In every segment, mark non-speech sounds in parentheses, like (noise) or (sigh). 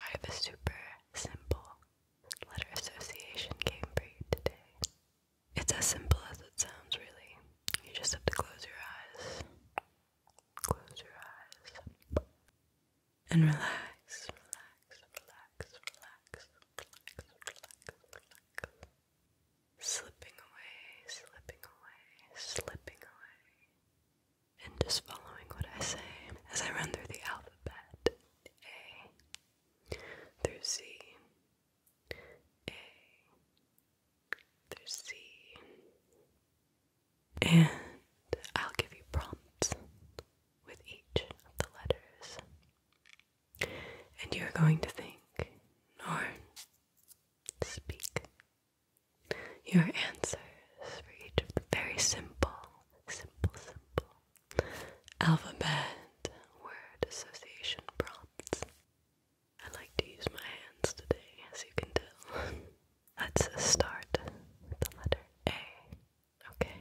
I have a super simple letter association game for you today. It's as simple as it sounds, really. You just have to close your eyes. Close your eyes. And relax, relax, relax, relax, relax, relax, Slipping away, slipping away, slipping away and just following what I say as I run through the alphabet A through Z, A through C. And I'll give you prompts with each of the letters. And you're going to think or speak your answers for each of the very simple simple, simple alphabet word association prompts. I like to use my hands today, as you can tell. (laughs) Let's start with the letter A. Okay,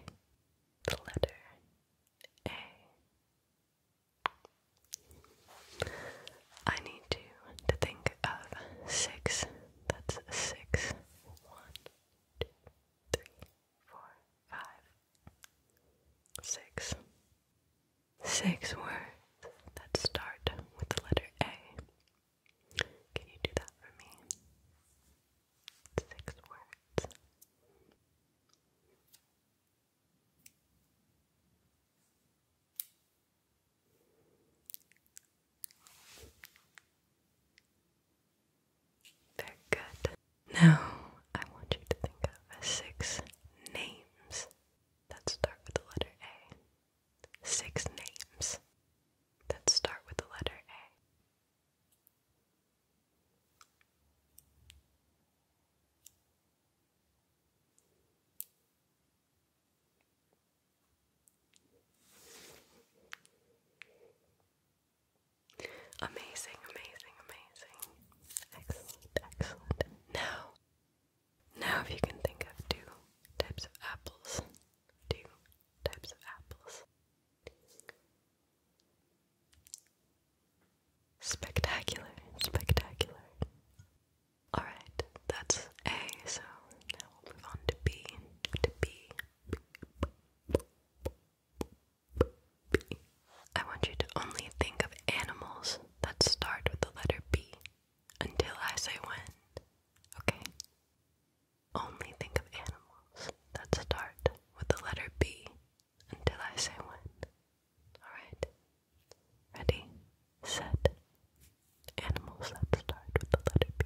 the letter A. I need you to think of six. That's six. One, two, three, four, five, six. Six words that start with the letter A. Can you do that for me? Six words. Very good. Now, I want you to think of six names that start with the letter A. Six names that start with the letter A. Amazing, amazing, amazing. Excellent, excellent. Now, now if you can think of two types of apples, two types of apples. Spectacular, spectacular. Alright, that's A, so now we'll move on to B, to B, I want you to only think of animals that start with the letter B until I say when. Okay? Only think of animals that start with the letter B until I say when. Alright? Ready? Set. Animals that start with the letter B.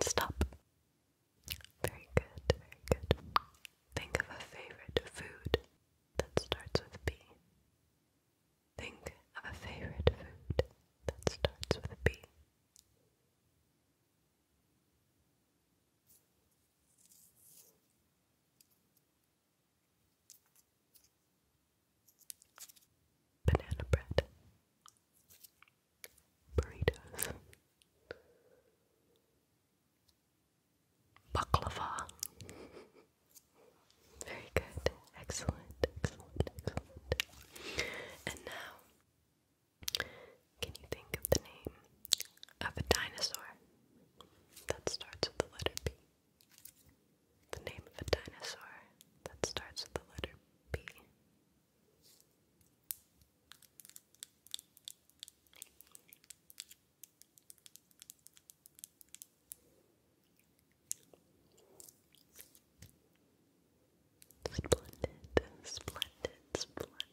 stop. Very good, very good. Think of a favorite food that starts with B. Think of a favorite food that starts with B banana bread, burritos, baklava. Very good, excellent, excellent, excellent. And now, can you think of the name of a dinosaur that starts with the letter B? The name of a dinosaur that starts with the letter B. Splendid, splendid, splendid.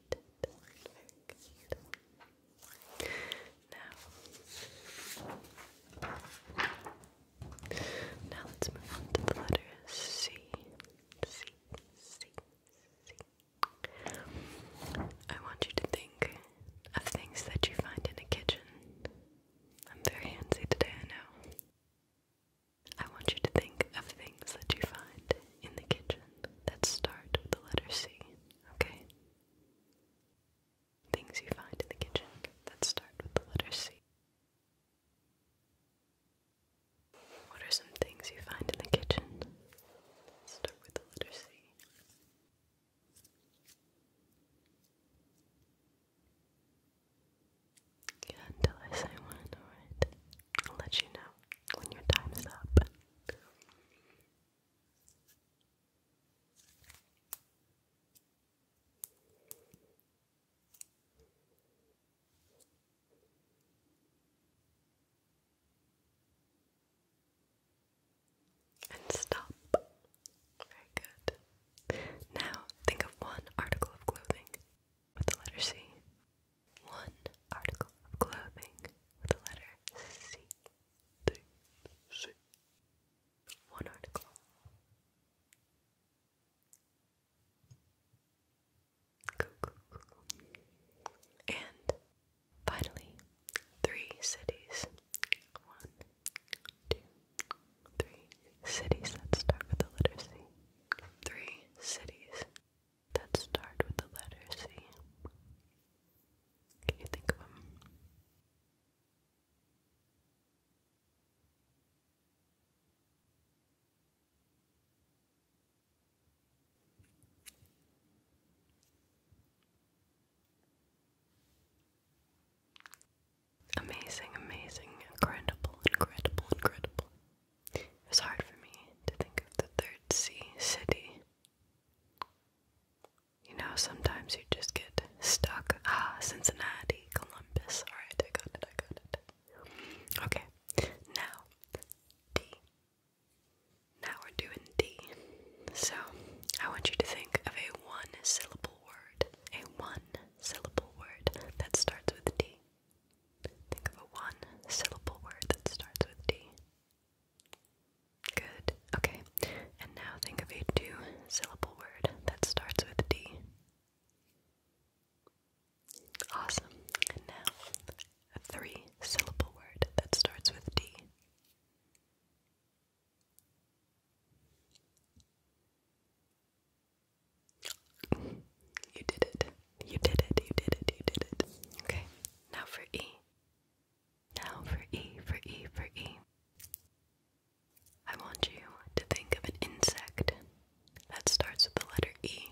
Now, now let's move on to the letter C. C, C, C. I want you to think of things that you find in a kitchen. I'm very handsy today, I know. I want you to think of things that you find in the kitchen that start with the letter C, okay? Things you find in the kitchen that start with the letter C. What are some things you find in the kitchen? start with the letter C. Yeah, until I say one, let you know when your time is up. And stop. Very good. Now think of one article of clothing with the letter C. One article of clothing with the letter C. C. One article. And finally, three cities. One, two, three cities that start with the letter C. Three cities that start with the letter C. Can you think of them? Amazing, amazing, incredible, incredible, incredible. It was hard for me to think of the third C city. You know, sometimes you just get stuck. Ah, Cincinnati, Columbus. Alright, I got it, I got it. Okay, now D. Now we're doing D. So I want you to think of a one syllable word. A one syllable word that starts with D. Think of a one syllable word that starts with D. Good. Okay. And now think of a two syllable word that starts with D. Awesome. And now, a three syllable word that starts with D. You did it. You did it. You did it. You did it. Okay. Now for E. Now for E, for E, for E. I want you to think of an insect that starts with the letter E.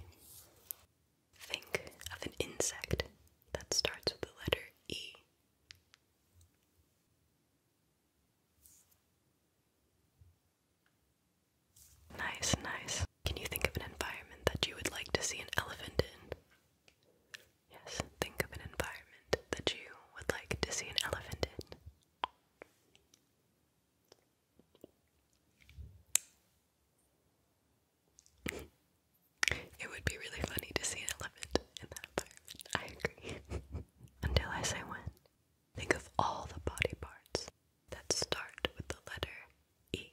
Think of an insect that starts with the letter E. Nice, nice. Can you think of an environment that you would like to see an elephant in? Yes, think of an environment that you would like to see an elephant in it would be really funny to see an elephant in that apartment. I agree. (laughs) Until I say when. Think of all the body parts that start with the letter E.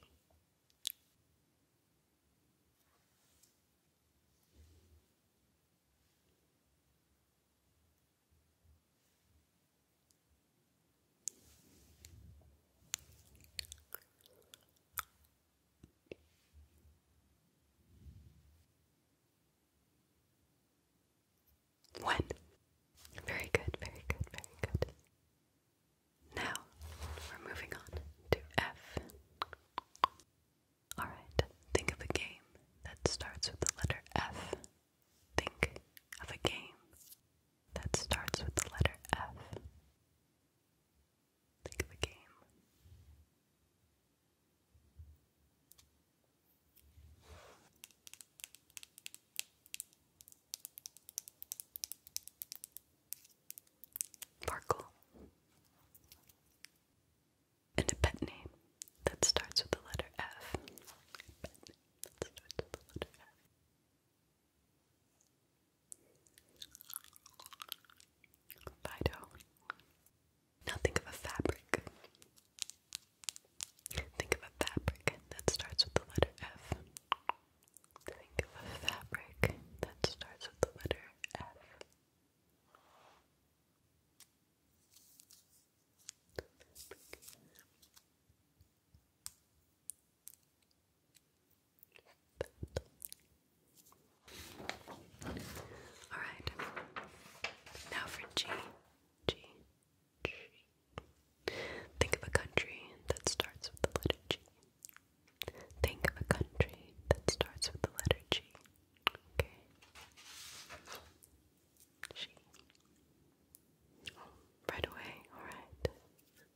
One. Very good, very good, very good. Now we're moving on to F. Alright, think of a game that starts with the letter F. Think of a game that starts with the letter F. Think of a game. Farkle. And a pet name that starts with the letter F. That Now think of a fabric. Think of a fabric that starts with the letter F. Think of a fabric that starts with the letter F. All right. Now for G. G. Think of a country that starts with the letter G. Think of a country that starts with the letter G. Okay. G. G right away, alright.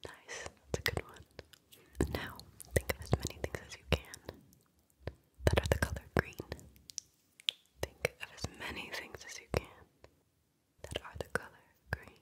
Nice, that's a good one. Now, think of as many things as you can that are the color green. Think of as many things as you can that are the color green.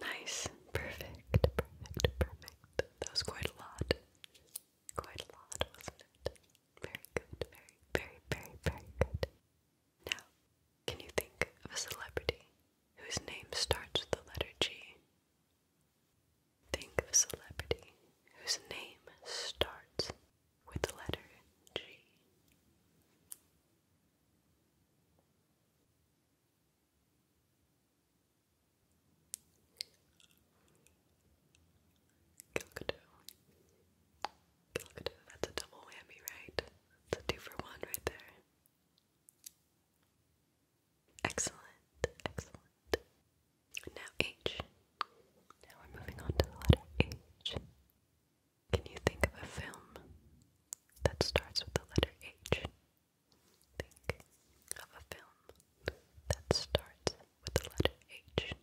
Nice, perfect, perfect, perfect. That was quite a lot. Quite a lot, wasn't it? Very good, very, very, very, very good. Now, can you think of a celebrity whose name starts with the letter G? Think of a celebrity whose name starts with the letter G. Galgadoo. Galgadoo, that's a double whammy, right? It's a two for one right there. Excellent, excellent. Now H. Now we're moving on to the letter H. Can you think of a film that starts with the letter H? Think of a film that starts with the letter H.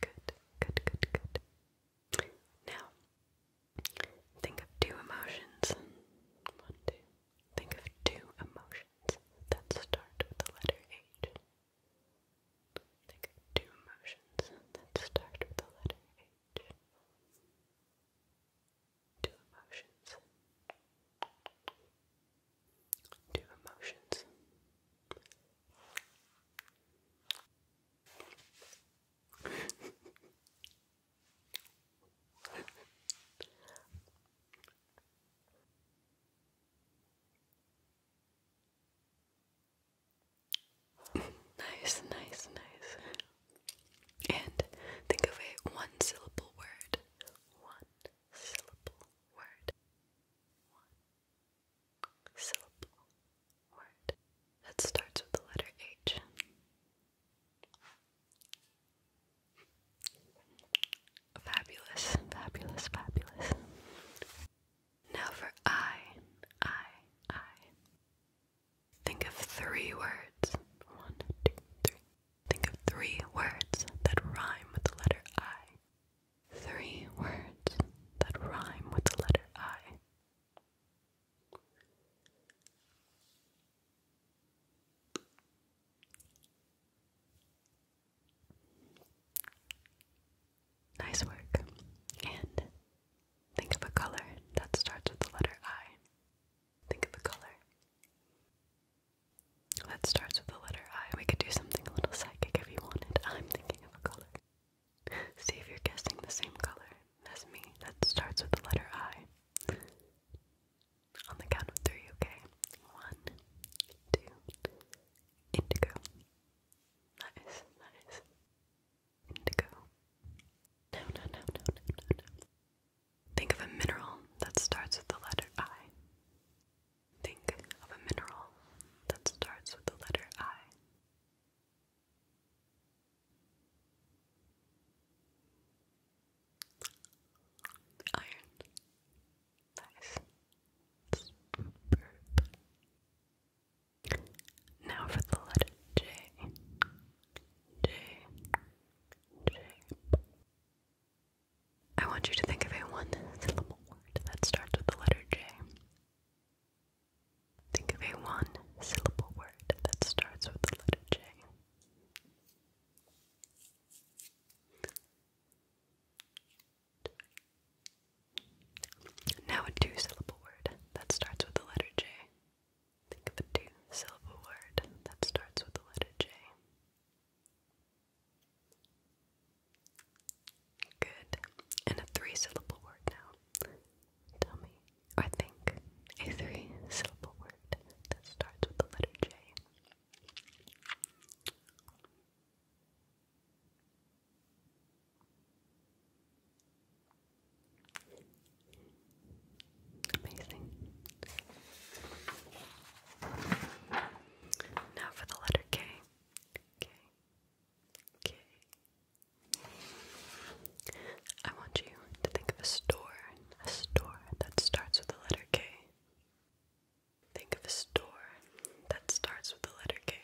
Good, good, good, good. Now, Think of two emotions. One, two. Think of two emotions that start with the letter H. Think of two emotions that start with the letter H. Two emotions. Two emotions nice, nice, nice. And think of a one syllable word. One syllable word. One syllable word that starts with the letter H. Fabulous, fabulous, fabulous. Now for I, I, I. Think of three words. One, two, three. Think of three words that rhyme with the letter I. Three words that rhyme with the letter I. Nice work. And think of a color that starts with the letter I. Think of a color that starts with the letter I. We could do something a little psychic if you wanted. I'm thinking of a color. (laughs) See if you're guessing the same color. That's me. That starts with the letter I. On the count of three, okay? One, two, indigo. Nice, nice. Indigo. No, no, no, no, no, no, no. Think of a mineral that starts with the letter I. Think of a mineral that starts with the letter I. Iron. Nice. Now for the letter J. J. J. I want you to think of a one syllable word that starts with the letter J. Think of a one syllable word that starts with the letter J. Now a two syllable word that starts with the letter J. Think of a two syllable word that starts with the letter J. Good. And a three syllable word now Tell me or think a three syllable word that starts with the letter J. Amazing. Now for the letter K. K. K. I want you to think of a store a store that starts with the letter K. Think of a store that starts with the letter K.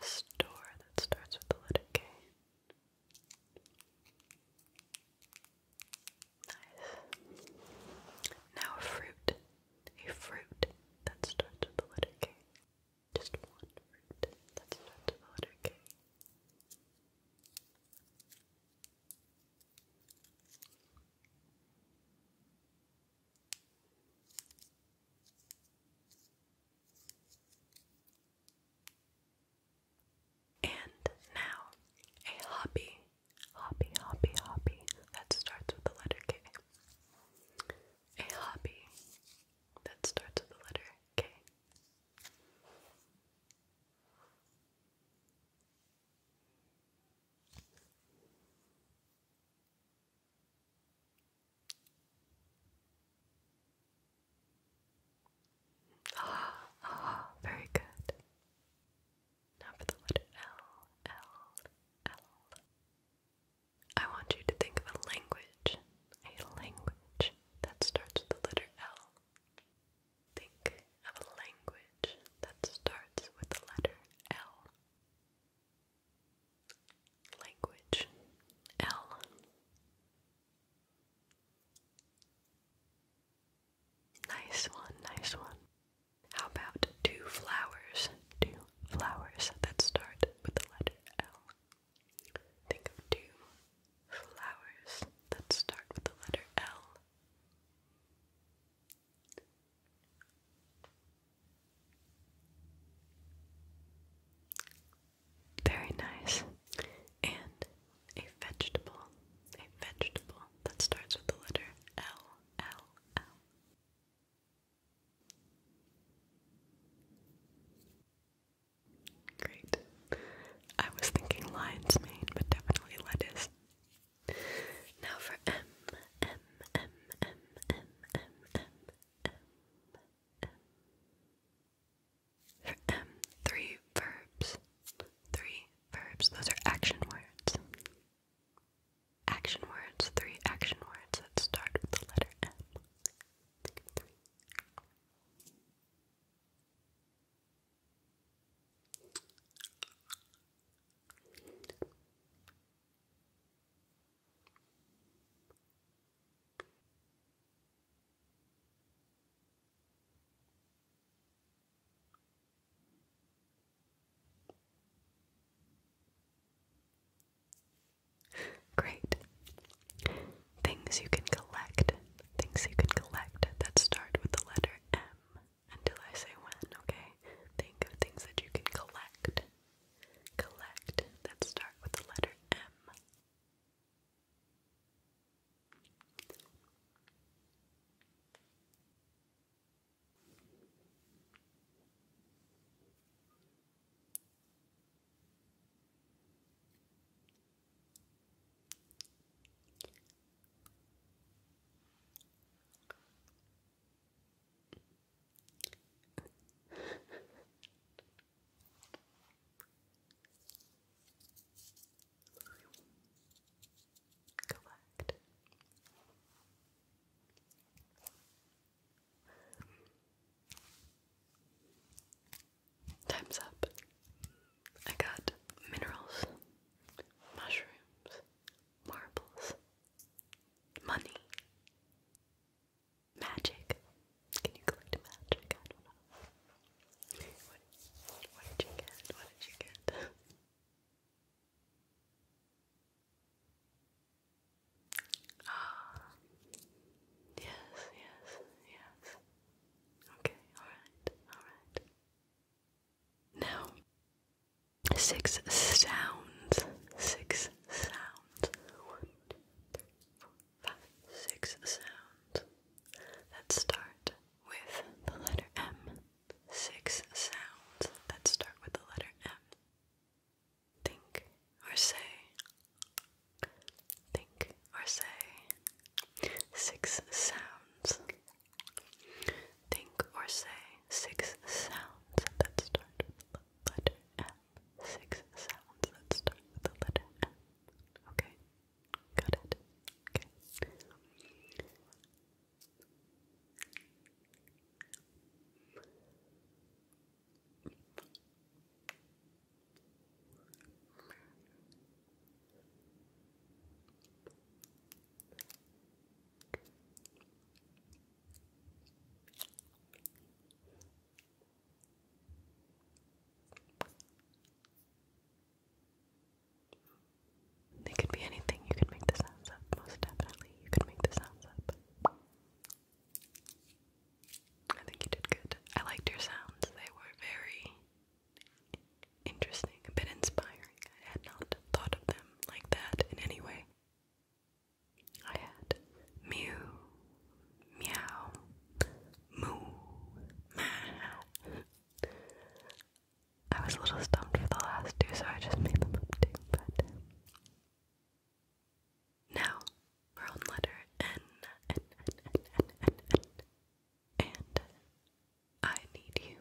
A store that starts with the letter K. Nice. Now fruit a fruit that starts with the letter K. Just one fruit that starts with the letter K. And now, a hobby hobby, hobby, hobby that starts with the letter K. A hobby that starts with the letter K. Ah, ah, very good. Now for the letter L, L, L. I want you to think of a language, a language that starts with the letter L. Think of a language that starts with the letter L. Language L. Nice one, nice one. How about two flowers? Two flowers that start with the letter L. Think of two flowers that start with the letter L. Very nice. And a vegetable, a vegetable that starts with the letter L, L. Great. I was thinking lion's but definitely lettuce. Now for M, M, M, M, M, M, M, M, M. For M, three verbs. Three verbs. Those are action words. Action words, three action words that start with the letter M. Great. Things you can collect. Things you can collect that start with the letter M until I say when, okay? Think of things that you can collect. Collect that start with the letter M. Collect. Time's up. I got minerals, mushrooms, marbles, money, magic. Can you collect magic? what did you get? What did you get? (laughs) Ah, (gasps) yes, yes, yes. Okay, alright, alright. Now, six sounds. Six sounds. One, two, three, four, five, six sounds. That start with the letter M. Six sounds that start with the letter M think or say, think or say six sounds. Think or say six sounds that start with the letter M. Six sounds that start with the letter M. Okay, got it. Okay. They could be anything. You could make the sounds up. Most definitely, you could make the sounds up. I think you did good. I liked your sounds. They were very interesting, a bit inspiring. I had not thought of them like that in any way. I had mew, meow, moo, meh. I was a little stumped for the last two, so I just made them up too, but now, we're on letter N, And I need you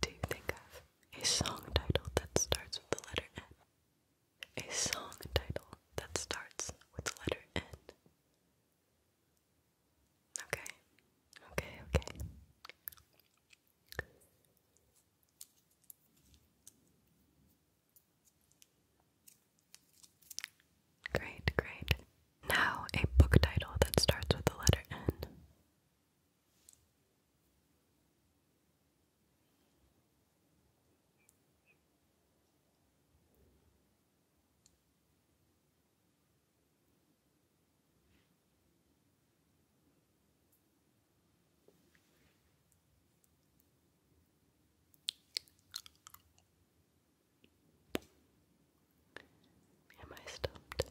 to think of a song title that starts with the letter N. A song title that starts with the letter N. Okay, okay, okay. Great, great. Now, a book title that starts with the letter N. Am I stumped?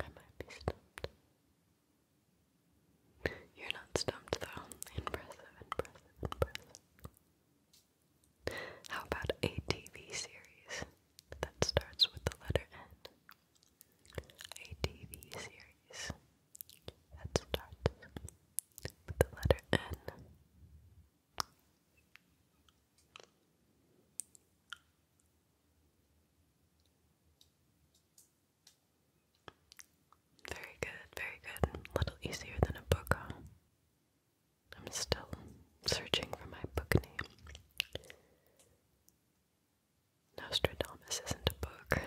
I might be stumped. You're not stumped though. Impressive, impressive, impressive. How about a TV series? that starts with the letter N. A TV series that starts with the letter N. Very good, very good. A little easier than a book, huh? I'm still searching for my book name. Nostradamus isn't a book.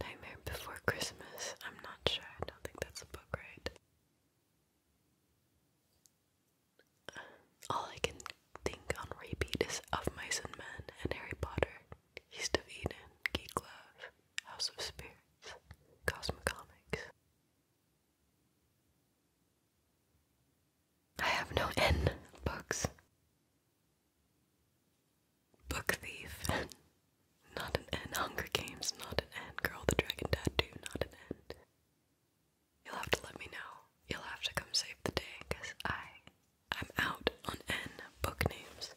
Nightmare Before Christmas. I'm not sure. I don't think that's a book, right? all I can think on repeat is Of Mice and Men and Harry Potter, East of Eden, Geek Love, House of Spirits, Cosmic Comics. I have no N books. Book Thief. (laughs) not an N. Hunger Games. Not an N. Girl the Dragon Tattoo. Not an N. You'll have to let me know. You'll have to come save the day because I, I'm out on N book names.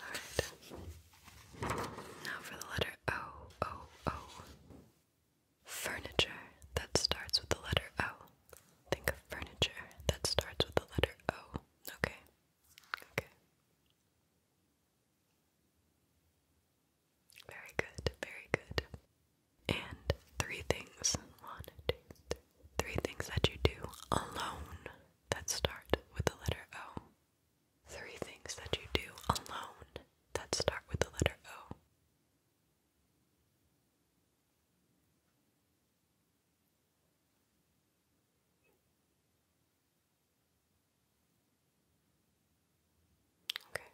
Alright. Now for the letter O, O, O. Furniture that starts with the letter O. Think of furniture that starts with the letter O. Okay. Okay. Very good, very good. And three things. One, two, things that you do alone that start with the letter O. Three things that you do alone that start with the letter O. Okay.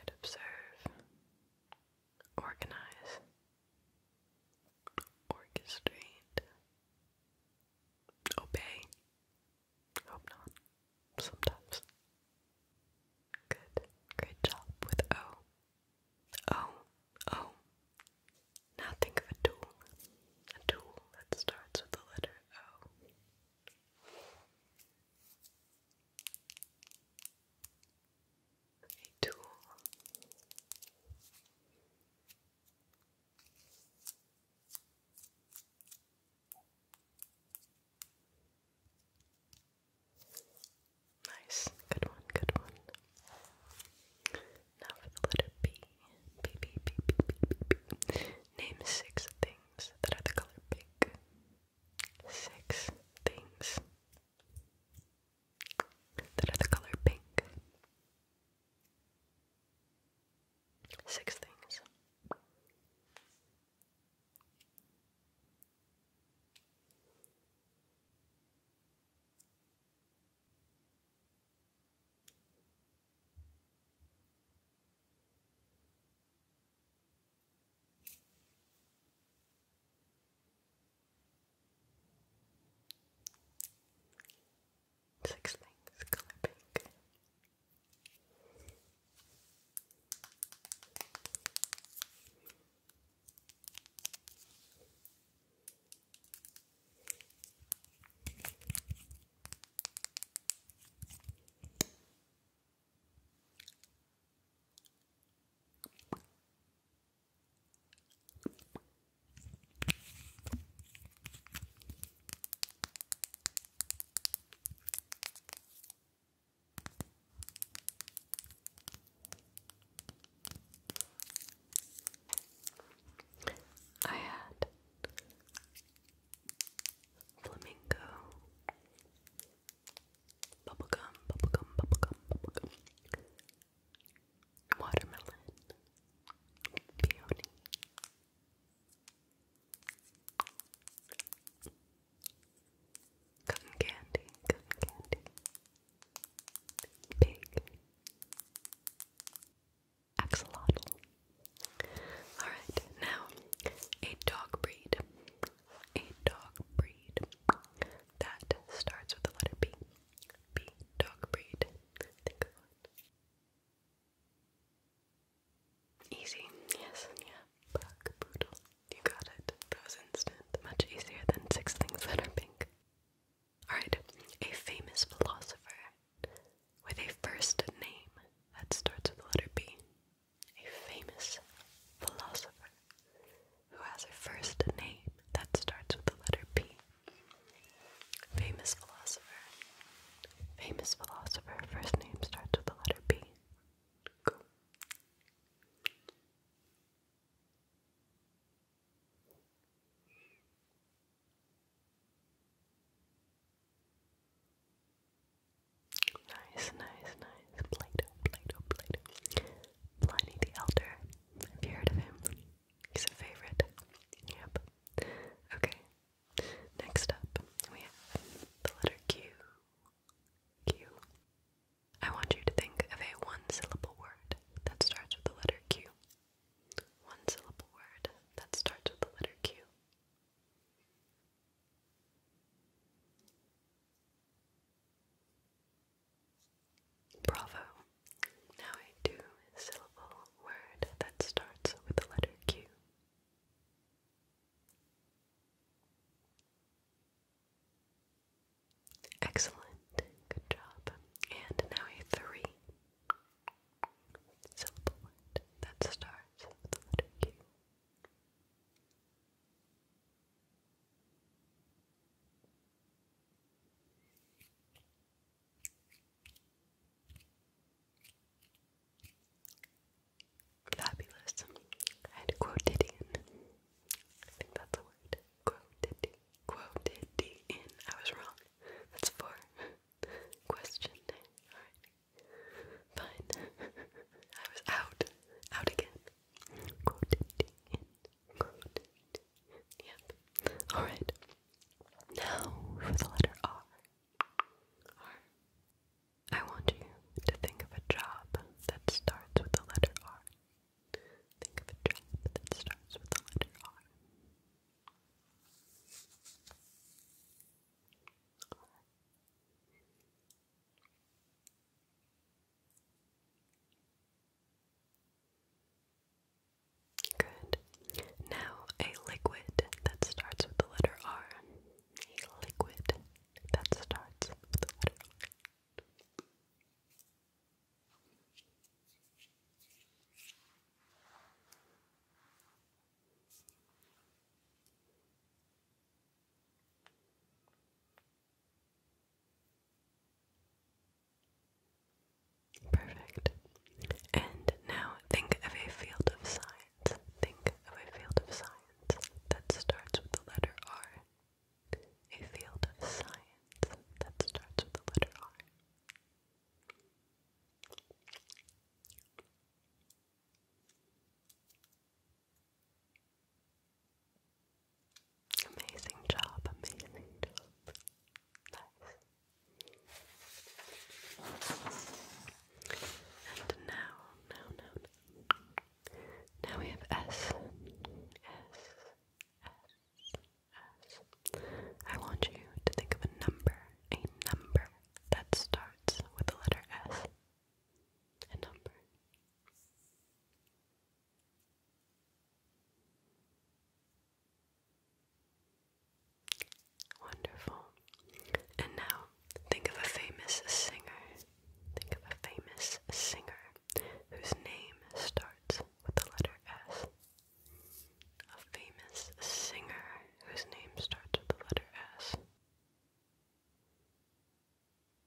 I'd observe, organize, orchestrate, obey. Hope not. Sometimes. Good. Great job with O. O. O. Now think of a tool. A tool that starts with the letter O a Nice, good one, good one. Now for the letter B. B, B, B, B, B, B, B. Name six things that are the color pink six things that are the color pink. Six things. Six things color I had flamingo Bubblegum, bubblegum, bubblegum, bubblegum. Watermelon. Peony. Cotton candy, cotton candy. Pig. Axolotl. Alright, now a dog breed a dog breed that starts with the letter B. B dog breed. Think of one. Easy, yes, yeah. Black poodle. You got it. That was instant. Much easier than six things that are pink. Alright, a famous philosopher with a first name that starts with the letter B a famous philosopher who has a first name that starts with the letter P. Famous philosopher. Famous philosopher, first name starts with the letter P. Nice, nice, nice. Plato, Plato, Plato. Pliny the Elder. Have you heard of him? He's a favorite. Yep. Okay. Next up, we have the letter Q. Q. I want you to think of a one syllable word that starts with the letter Q. One syllable word that starts with the letter Q. Bravo. Now a two-syllable word that starts with the letter Q. Excellent. Good job. And now a three-syllable word that starts with the letter Q. Fabulous. I'd quoted in. I think that's a word. Quoted. Quoted in. I was wrong. That's four. (laughs) Question. Alright. Fine. (laughs) I was out. Out again. Quoted Yep. Alright. Now for the letter R. R. I want you to think of a job that starts with the letter R. Think of a job that starts with the letter R. Good. Now a liquid that starts with the letter R. A liquid that starts with the letter R. Perfect. And now think of a field of science. Think of a field of science that starts with the letter R. A field of science that starts with the letter R. Amazing job, amazing job. Nice. And now, now, now, now. we have S. S. S. S. I want you to think of a number, a number that starts with the letter S. A number. Wonderful. And now, think of a famous singer. Think of a famous singer whose name starts with the letter S. A famous singer whose name starts with the letter S. Selena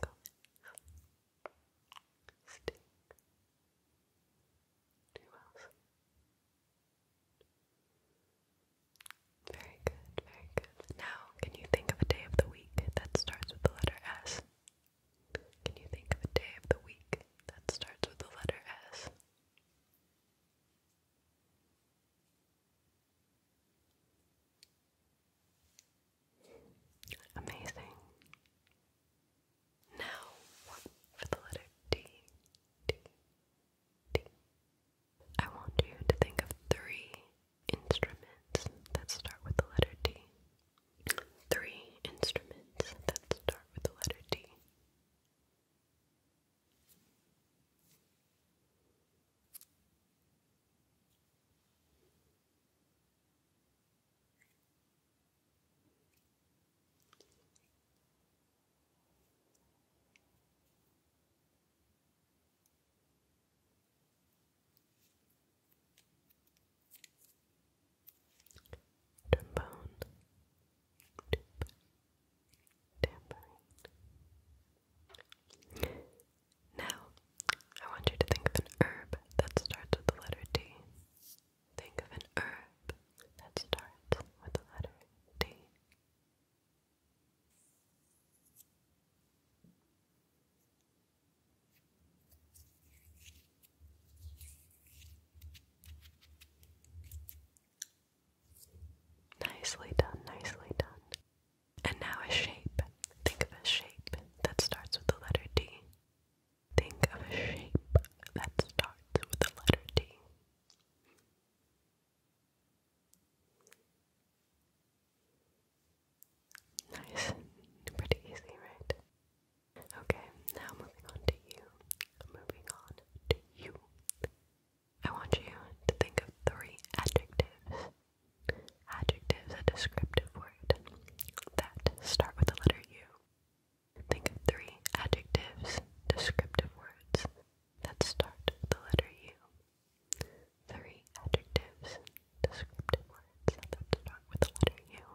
Gomez. Sting. Who Very good, very good. Now, can you think of a day of the week that starts with the letter S? Can you think of a day of the week that starts with the letter S? Amazing. Now for the letter D. D. D. I want you to think of three instruments that start with the letter D. Three instruments that start with the letter D trombone, tuba, tambourine. Now, I want you to think of an herb that starts with the letter D. Think of an herb that starts with the letter D. Nicely done, nicely done. And now a shape. Think of a shape that starts with the letter D. Think of a shape that starts with the letter D. Nice. Pretty easy, right? Okay, now moving on to you. Moving on to you. I want you to think of three adjectives. Adjectives, a descriptive word that start with the letter U. Think of three adjectives, descriptive words that start the letter U. Three adjectives, descriptive words that start with the letter U.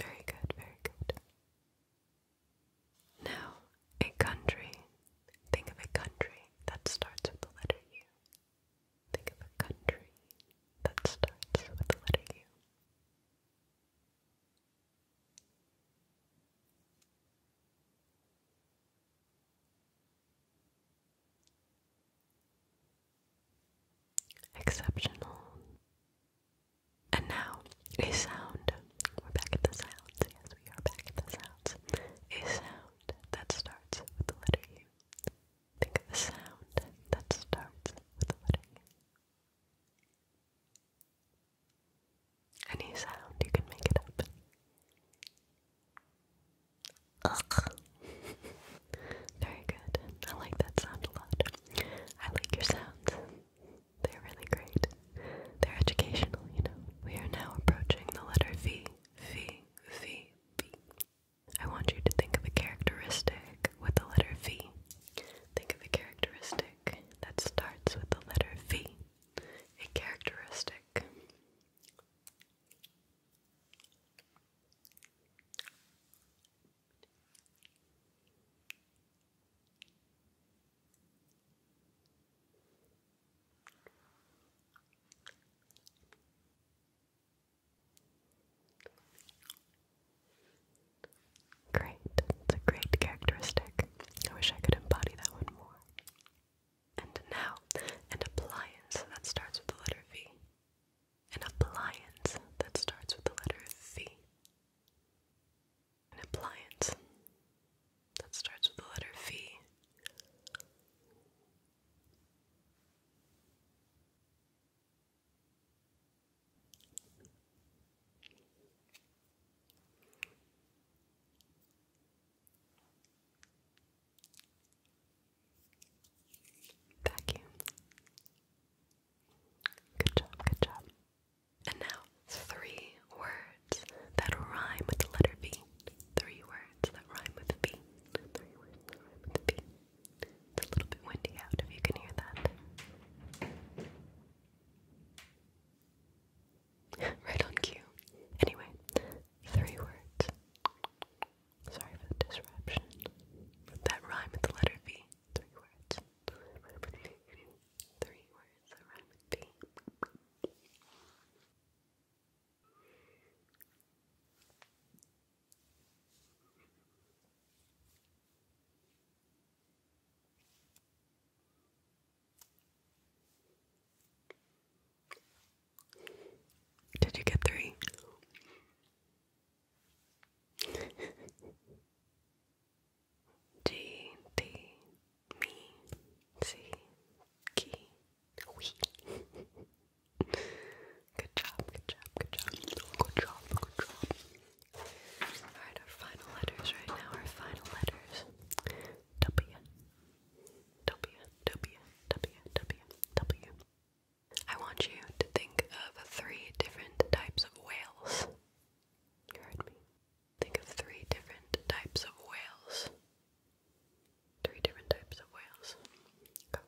Very good, very good. Now, a country. Think of a country that starts with the letter U. Think of a country that starts with the letter U. Exceptional. And now, a sound. We're back at the sounds. Yes, we are back at the sounds. A sound that starts with the letter U. Think of a sound that starts with the letter U. Any sound, you can make it up. Ugh. Very good. I like that sound a lot. I like your sounds. They're really great. They're educational, We are now approaching the letter V. V, V, V. I want you to think of a characteristic with the letter V. Think of a characteristic that starts with the letter V. A characteristic. Great. It's a great characteristic. I wish I could embody that one more. And now, an appliance that starts with the letter V. An appliance that starts with the letter V. An appliance that starts with the letter V. Vacuum. Good job, good job. And now, three words that rhyme with the letter V. Three words that rhyme with V. Three words that rhyme with V. It's a little bit windy out if you can hear that. (laughs) right on cue. Anyway, three words. Sorry for the disruption. That rhyme with the letter V. Three words. Three words that rhyme with B. Did you get three? G D Good job, good job, good job, good job, good job. Alright, our final letters right now, our final letters. W W W W W I want you to think of three different types of whales. You heard me. Think of three different types of whales. Three different types of whales. Go.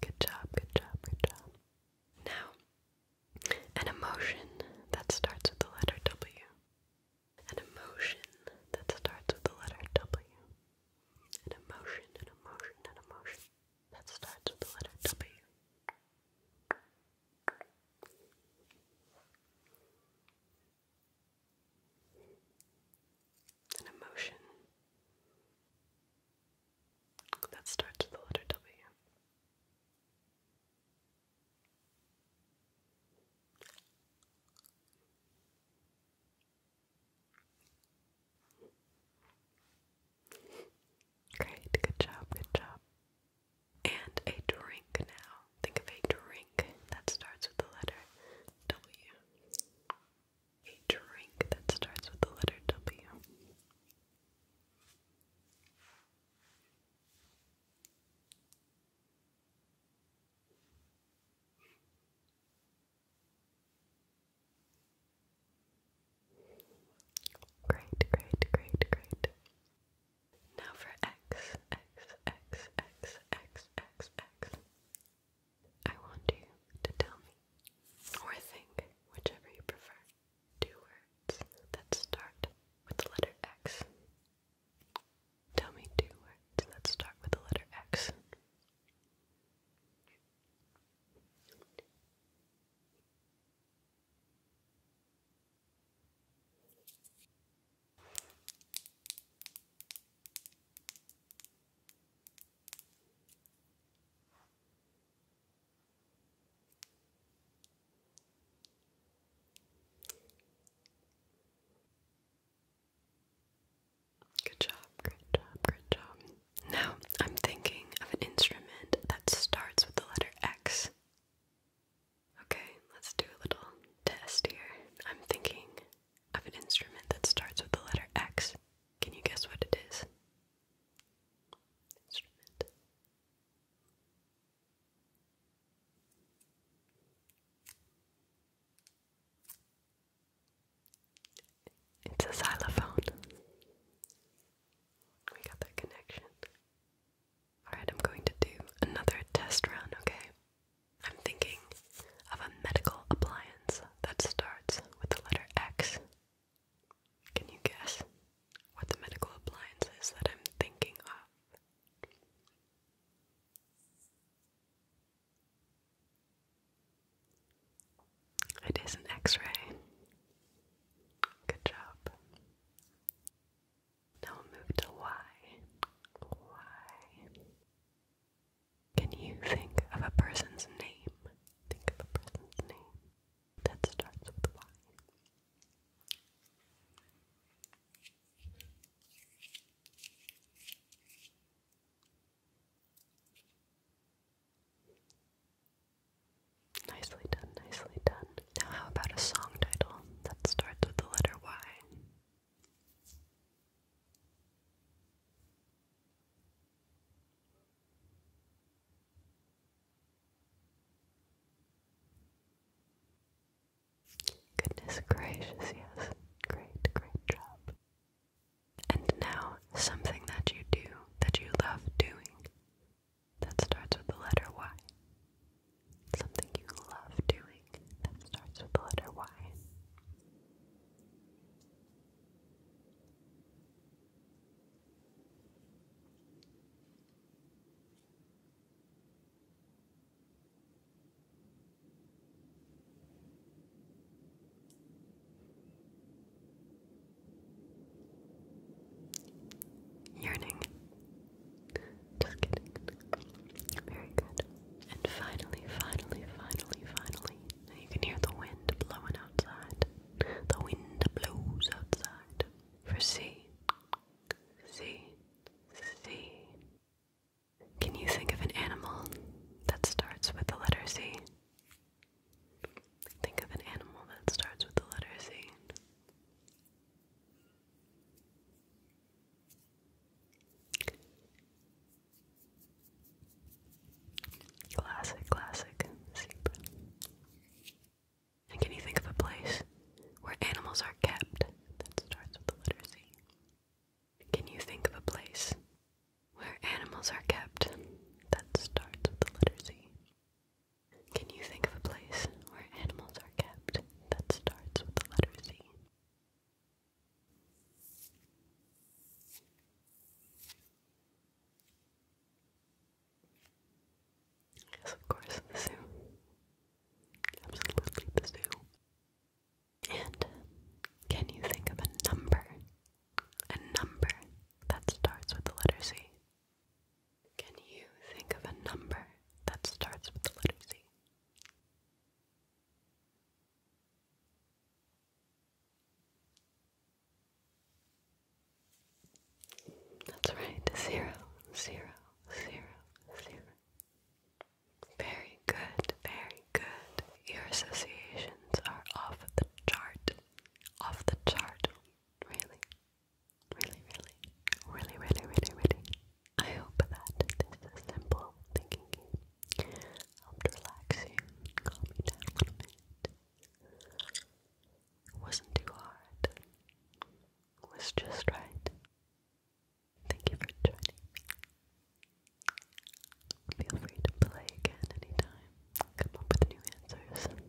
Good job, good job, good job. Now, an emotion that starts with the letter W. An emotion that starts with the letter W. An emotion, an emotion, an emotion that starts with the letter W an emotion that starts with the letter W. Great, good job, good job. And a drink now. Think of a drink that starts with the letter W. A drink that starts with the letter W. Great, great, great, great. Now for X, X, X, X, X, X, X. I want you to tell me, or think, whichever you prefer, two words that start with the letter X. Tell me two words that start with the letter X. Good job, good job, good job. Now I'm thinking of an instrument that starts with the letter X. Okay, let's do a little test here. I'm thinking of an instrument that starts with the letter X. Can you guess what it is? Instrument. It's a xylophone. We got that connection. Alright, I'm going to do another test round, okay? I'm thinking of a medical appliance that starts with the letter X. Can you guess what the medical appliance is that I'm thinking of? It is an x ray. Good job. Now we'll move to Y. Y. Can you think of a person's name? Think of a person's name that starts with Y. Nicely done, nicely done. Now, how about a song title that starts with the letter Y? Goodness gracious, yes. Great, great job. And now, something that you do that you love doing that starts with the letter Y. Something you love doing that starts with the letter Y. Yearning. Just Very good. And finally, finally, finally, finally, you can hear the wind blowing outside. The wind blows outside. For C. C. C. Can you think of an animal that starts with the letter C? Think of an animal that starts with the letter C. Classic, classic zebra. can you think of a place where animals are kept that starts with the letter C? Can you think of a place where animals are kept that starts with the letter C? Can you think of a place where animals are kept that starts with the letter C? of course, the zoo. Absolutely the zoo. And can you think of a number? A number that starts with the letter C. Can you think of a number that starts with the letter C? That's right, zero, zero, zero, zero. Very good, very good. Your associations are off the chart. Off the chart. Really, really, really, really, really, really, really. I hope that this is a simple thinking game helped relax you and calm you down a little bit. wasn't too hard. was just right. Thank you for joining Feel free to play again anytime. Come up with new answers.